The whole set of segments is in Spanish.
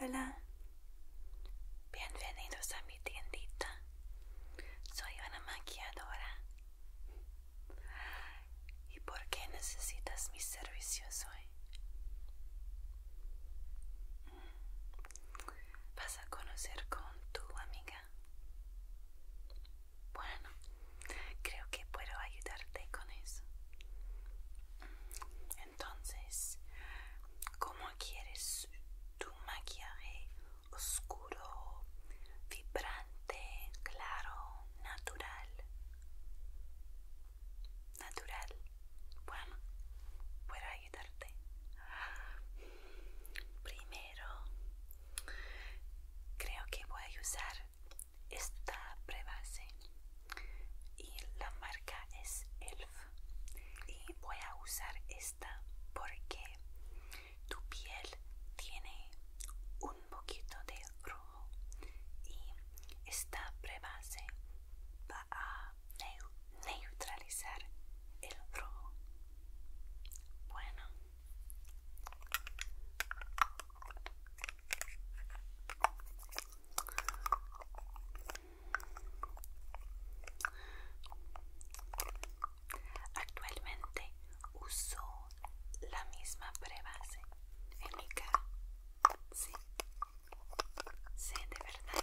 Hola, bienvenidos a mi tiendita. Soy una maquilladora. ¿Y por qué necesitas mis servicios hoy? Mm. Vas a conocer con tu amiga bueno, creo que puedo ayudarte con eso. Entonces, ¿cómo quieres tu maquillaje oscuro, vibrante, claro, natural? Natural. Bueno, puedo ayudarte. Primero Creo que voy a usar esta prebase y la marca es Elf. Y voy a usar esta porque tu piel tiene un poquito de rojo y esta prebase va a neutralizar el rojo. Bueno, Actualmente uso la misma prebase en mi cara. Sí, sí, de verdad.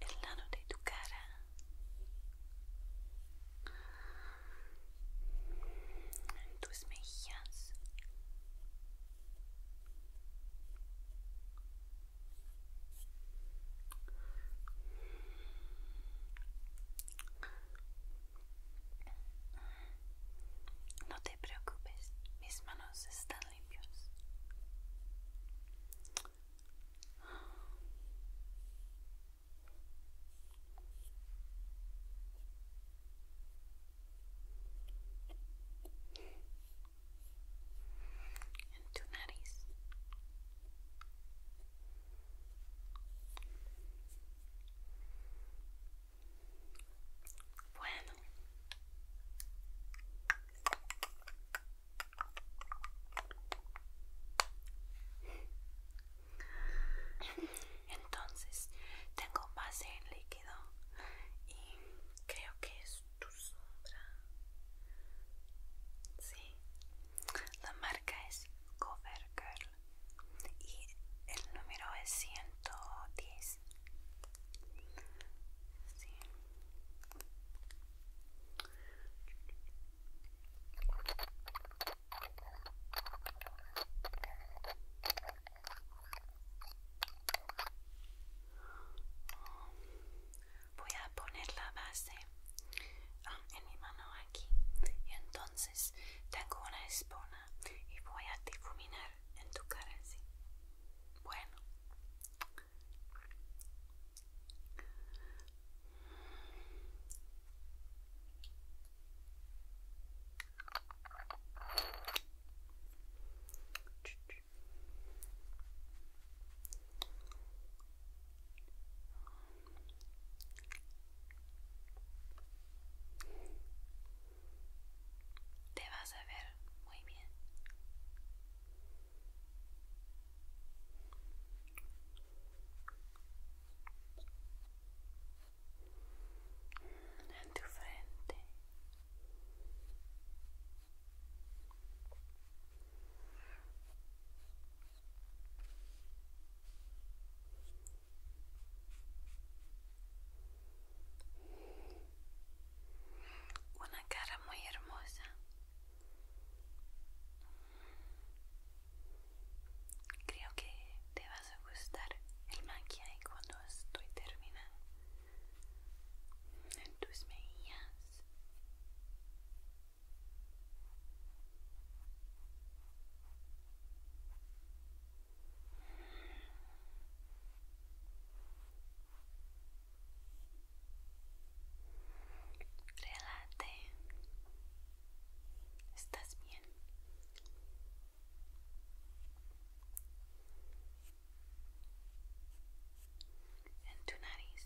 el lado de tu cara tus mejillas no te preocupes mis manos están limpios. En tu nariz. Bueno. Entonces, tengo base en líquido y creo que es tu sombra. Sí. La marca es Covergirl y el número es 110. Voy a poner la base ah, en mi mano aquí y entonces tengo una espona y voy a difuminar en tu cara así. Bueno. Te vas a ver muy bien. En tu frente. Una cara muy hermosa. Creo que te vas a gustar el maquillaje cuando estoy terminada. En tus mejillas. Relate. ¿Estás bien? En tu nariz.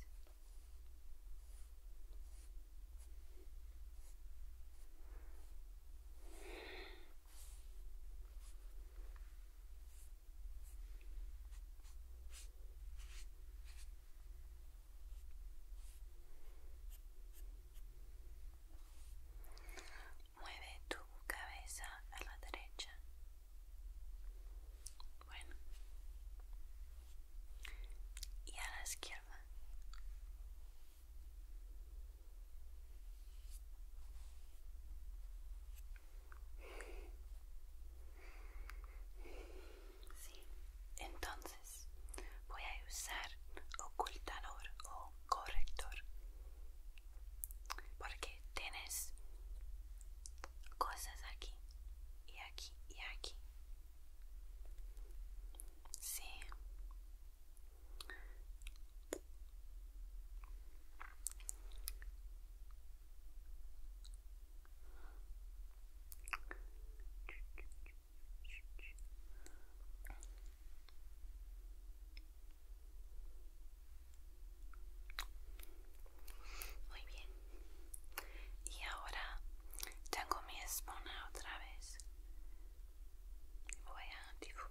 Mueve tu cabeza a la derecha. Bueno. Y a la izquierda entonces voy a usar ocultador o corrector porque tienes cosas aquí y aquí y aquí. Sí, muy bien. Y ahora tengo mi espona otra vez. Voy a difuminar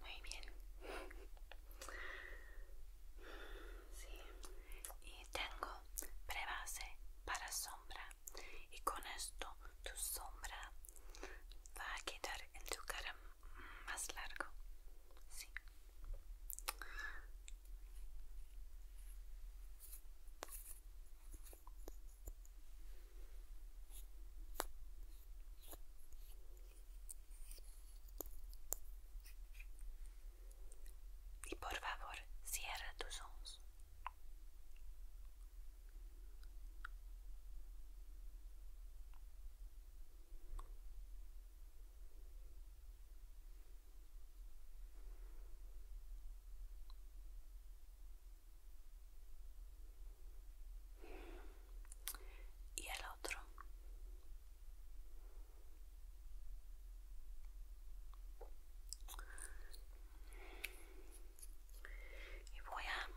Muy bien. Y tengo prebase para sombra. Y con esto tu sombra va a quedar en tu cara más largo. Sí. Y por favor, cierra tus ojos y el otro y voy a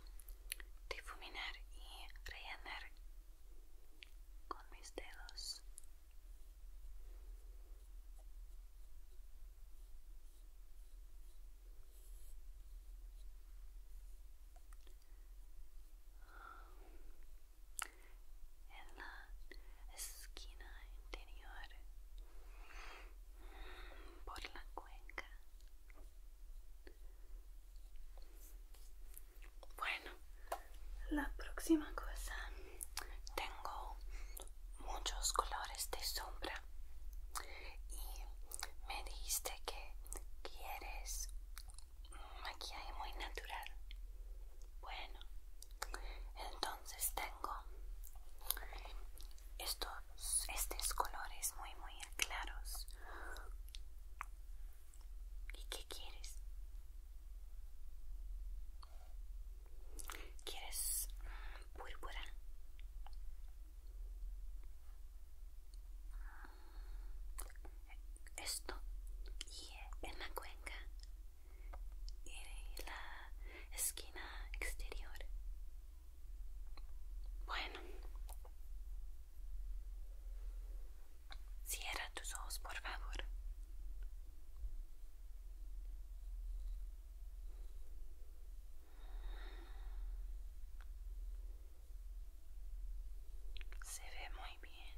difuminar y rellenar con mis dedos en la esquina interior por la cuenca bueno la próxima cosa tengo muchos colores de sombra y me dijiste que quieres maquillaje muy natural bueno entonces tengo estos estos colores muy muy claros y qué quieres quieres púrpura esto y eh, en la cuenca y la esquina exterior bueno cierra tus ojos por favor se ve muy bien.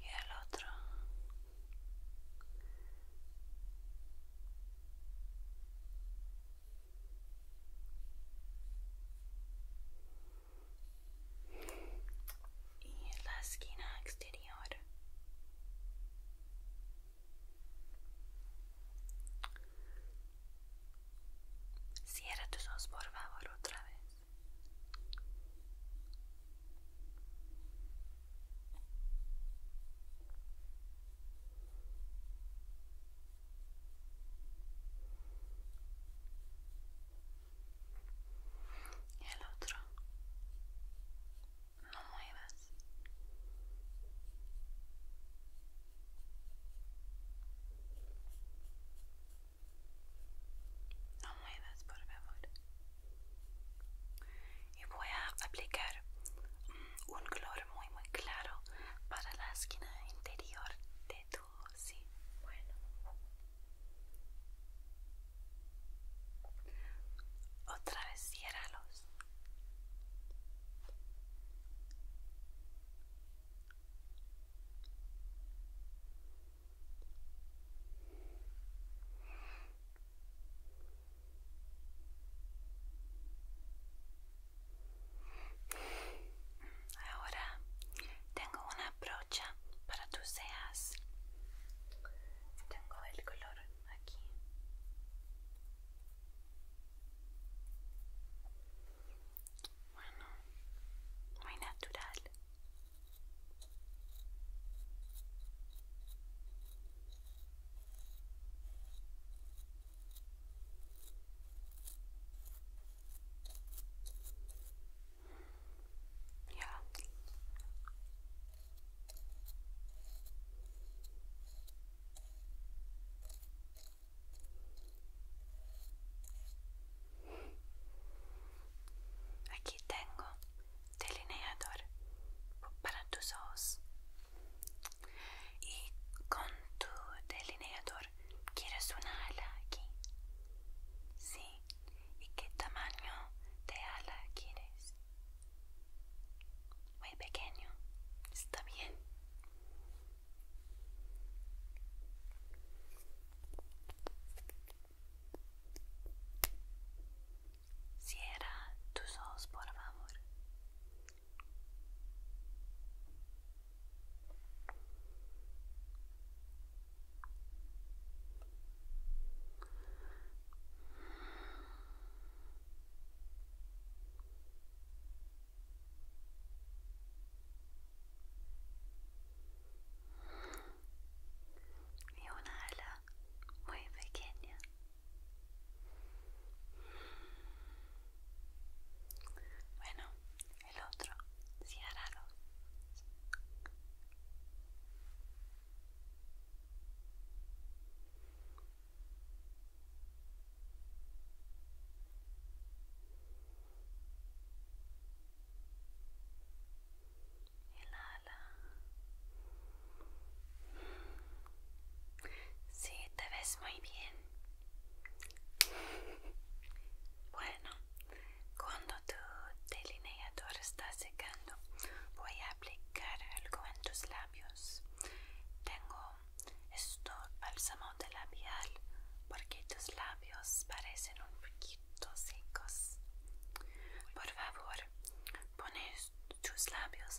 Y el otro y en la esquina exterior cierra tus ojos por favor otra vez y el otro no muevas no muevas por favor y voy a aplicar un color muy muy claro para la esquina interior de tu sí bueno otra vez ciéralos. Ahora tengo una brocha para tus cejas. Tengo el color aquí. Bueno, muy natural. aqui tenho delineador para tus ojos. y con tu delineador quieres una ala aquí sí y qué tamaño de ala quieres muy pequeño está bien Cierra tus ojos, por favor y una ala muy pequeña bueno, el otro, el ala Sí, te ves muy bien. Bueno, cuando tu delineador está secando, voy a aplicar algo en tus labios. Tengo esto bálsamo de labial porque tus labios parecen un poquito secos. Por favor, pones tus labios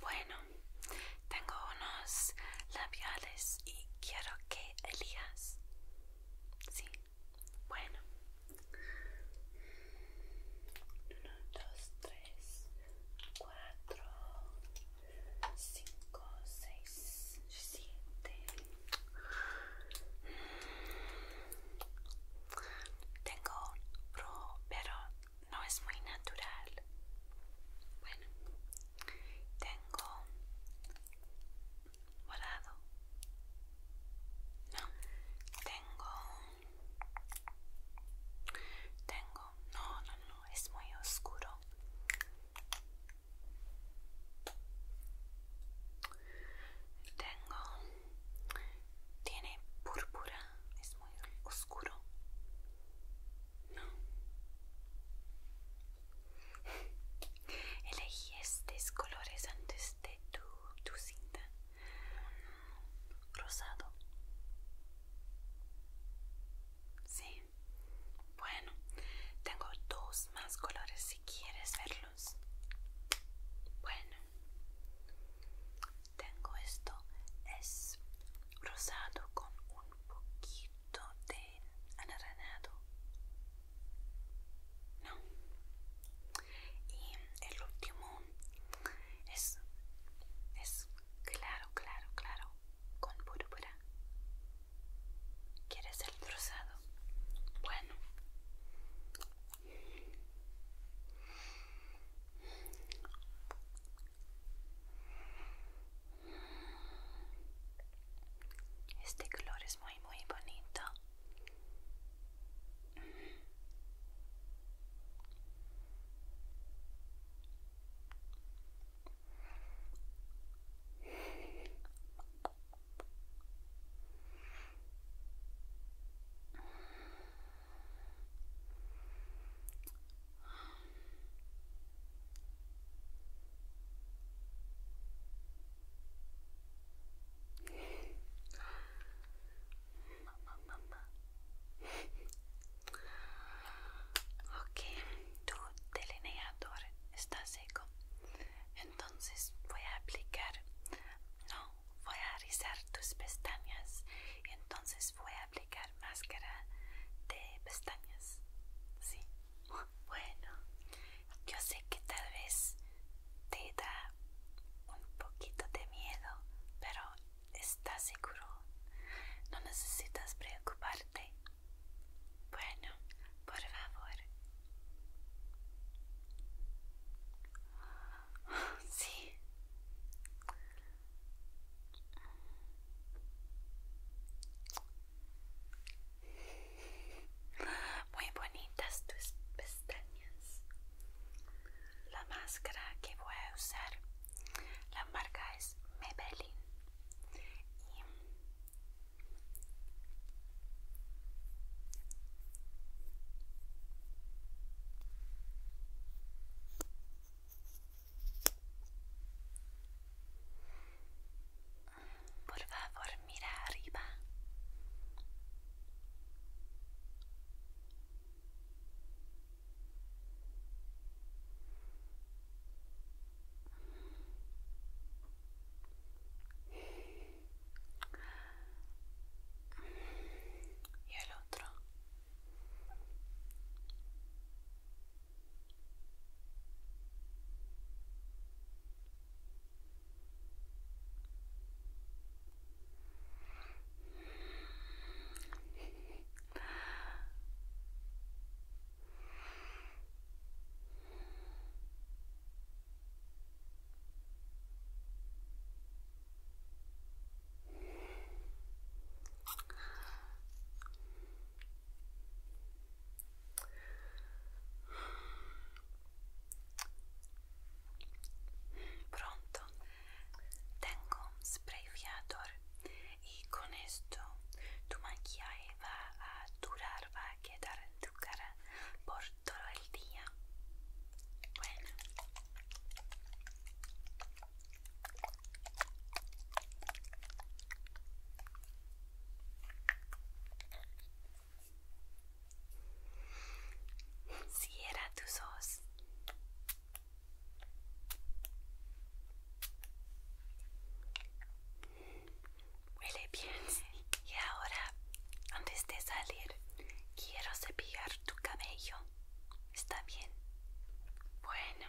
Bueno, tengo unos labiales y quiero que Elias... Sí. Bueno. 1, 2, 3, 4, 5, 6, 7. Tengo rojo, pero no es muy natural. Bueno, tengo morado. No, tengo. Tengo. No, no, no, es muy oscuro. Tengo tiene púrpura, es muy oscuro. No. Elegí estos colores antes de tu, cinta. Mm, rosado. Sí. Bueno, tengo dos más colores si quieres verlo. Bueno, tengo esto, es rosado con un poquito de anaranado. No. Y el último es, es claro, claro, claro, con púrpura. ¿Quieres el rosado? Bueno, este color es muy muy bonito. Ok, tu delineador está seco. Entonces voy a aplicar, no, voy a rizar tus pestañas. entonces voy a aplicar máscara de pestañas. Sí. Bueno, yo sé que tal vez te da un poquito de miedo, pero estás seguro. No necesitas preocuparte. Bueno, por favor. Sí. Muy bonitas tus pestañas. La máscara que voy a usar, la marca es Maybelline. Por favor, mira arriba y el otro Pronto, tengo un spray fiador y con esto tu maquillaje va a durar más quedar en tu cara por todo el día. Bueno. era tu ojos. Huele bien. Y ahora, antes de salir, quiero cepillar tu cabello. ¿Está bien? Bueno.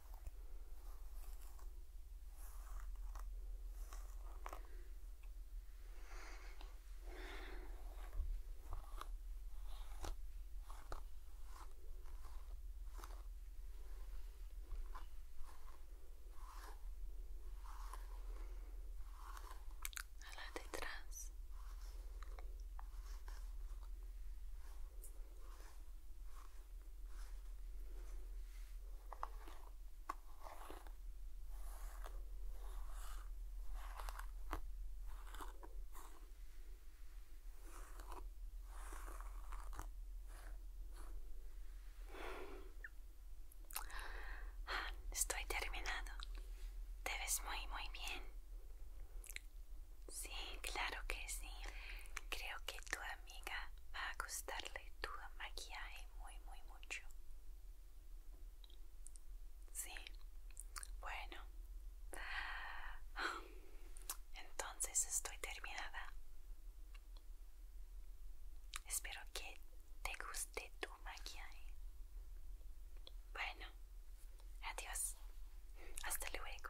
a la detrás Estoy terminado. Te ves muy, muy bien. Sí, claro que sí. Creo que tu amiga va a gustarle tu maquillaje muy, muy mucho. Sí, bueno. Entonces estoy terminada. Espero que te guste tu maquillaje. Bueno, adiós. Hasta luego.